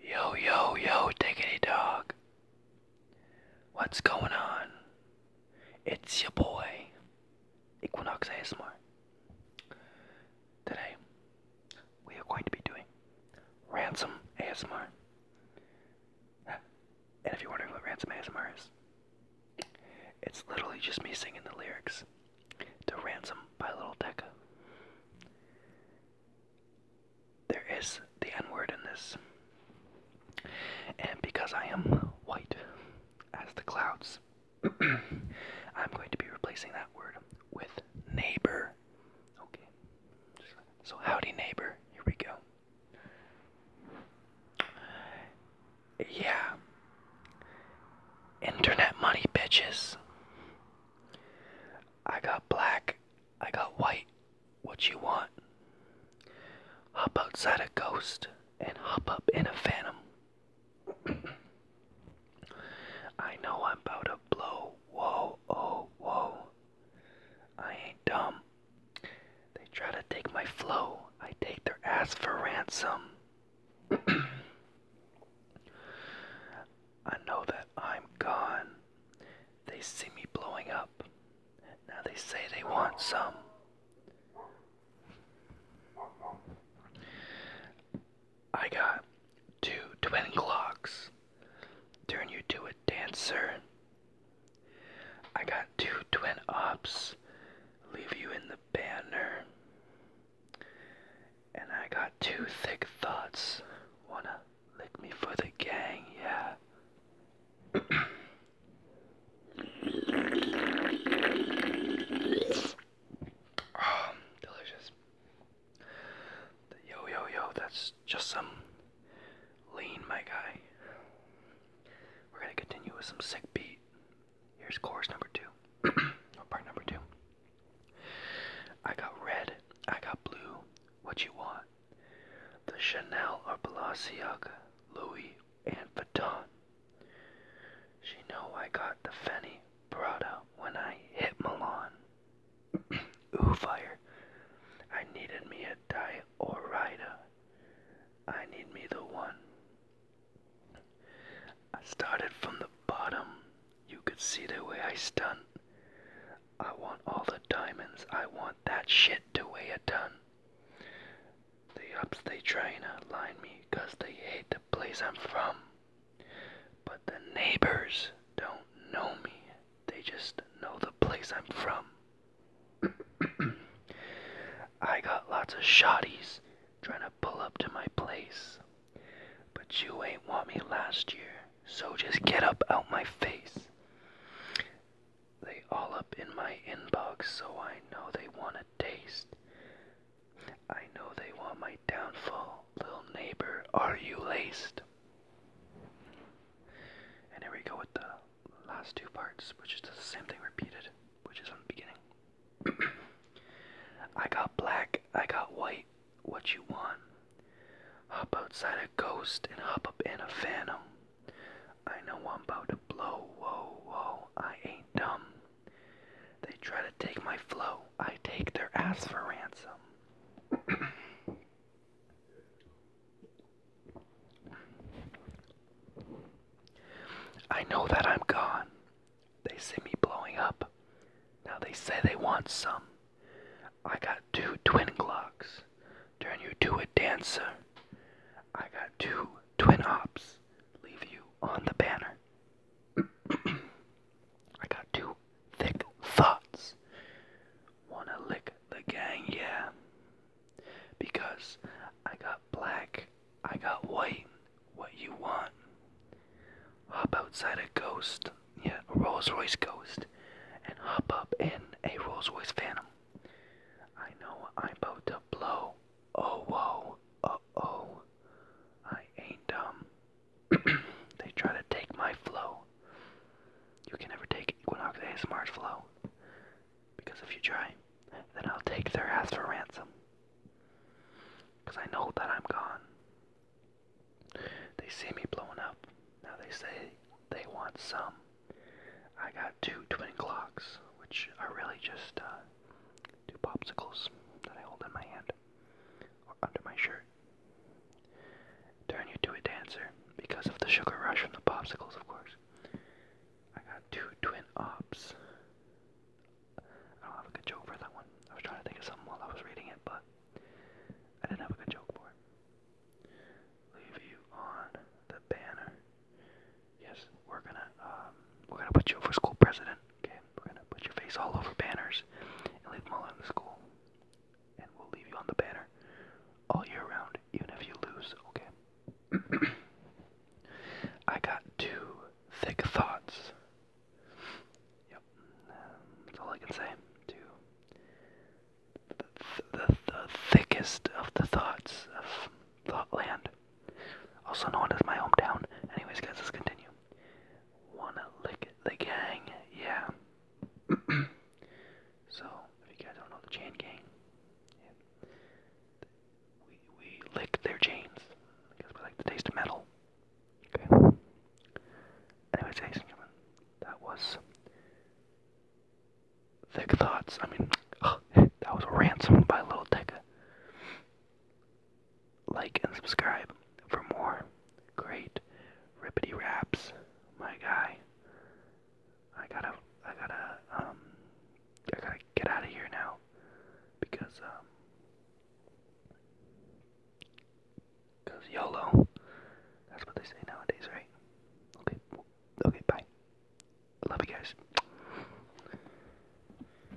Yo, yo, yo, diggity dog. What's going on? It's your boy, Equinox ASMR. Today, we are going to be doing Ransom ASMR. And if you're wondering what Ransom ASMR is, it's literally just me singing the lyrics to ransom by Little Deca. There is the N word in this. And because I am white as the clouds, I'm going to be replacing that word with neighbor. Okay. So, howdy, neighbor. Here we go. Yeah. Internet money, bitches. I got black. I got white. What you want? Hop outside a ghost and hop up in a phantom. I know I'm about to blow. Whoa, oh, whoa. I ain't dumb. They try to take my flow. I take their ass for ransom. I know that I'm gone. They see me blowing up. Now they say they want some. I got two twin clocks. Turn you to a dancer. I got two twin ops. Leave you in the banner. And I got two thick thoughts. Wanna lick me for the gang, yeah. Ah, delicious. Yo, yo, yo, that's just some lean, my guy. We're gonna continue with some sick beat. Here's chorus number two, oh, part number two. I got red, I got blue. What you want? The Chanel or Balenciaga, Louis and Vuitton. She know I got the Fanny Prada when I hit Milan. Ooh, fire! I needed me a diet I need me the one. I started from the bottom. You could see the way I stunt. I want all the diamonds. I want that shit to weigh a ton. The ups they tryin' to line me 'cause they hate the place I'm from. But the neighbors don't know me. They just know the place I'm from. I got lots of shotties trying to pull up to my place. But you ain't want me last year, so just get up out my face. They all up in my inbox, so I know they want a taste. I know they want my downfall, little neighbor, are you laced? And here we go with the last two parts, which is the same thing repeated, which is on the beginning. I got black, I got white, what you want. Hop outside a ghost and hop up in a phantom. I know I'm about to blow, whoa, whoa, I ain't dumb. They try to take my flow, I take their ass for ransom. I know that I'm gone. They see me blowing up. Now they say they want some. I got two twin glocks. Turn you to a dancer. I got two twin ops. Leave you on the banner. I got two thick thoughts. Wanna lick the gang, yeah. Because I got black, I got white, what you want. Hop outside a ghost, yeah, a Rolls Royce ghost, and hop up in a Rolls Royce Phantom. I know I'm about to blow. Oh, whoa, oh oh. I ain't dumb. they try to take my flow. You can never take Equinox smart flow. Because if you try, then I'll take their ass for ransom. Because I know that I'm gone. They see me blowing up. Now they say they want some. I got two twin clocks, which are really just uh, two popsicles that I hold in my hand or under my shirt. Turn you to a dancer because of the sugar rush from the popsicles, of course. I got two twin ops. I don't have a good joke for that one. I was trying to think of something while I was reading it, but I didn't have a good joke for it. Leave you on the banner. Yes, we're gonna um, we're gonna put you up school president. Okay, we're gonna put your face all over banners and leave them all in the school. And we'll leave you on the banner all year round, even if you lose, okay? I got two thick thoughts. Yep, that's all I can say. Two. the thickest of the thoughts of Thoughtland. Also known as my hometown. Anyways, guys, let's continue wanna lick the gang, yeah. so if you guys don't know the chain gang, we we lick their chains because we like the taste of metal. Okay. Anyways, that was thick thoughts. I mean, that was ransomed by Lil Tecca like and subscribe for more great rippity raps, my guy. I gotta, I gotta, um, I gotta get out of here now because, um, because YOLO. That's what they say nowadays, right? Okay, okay, bye. I love you guys.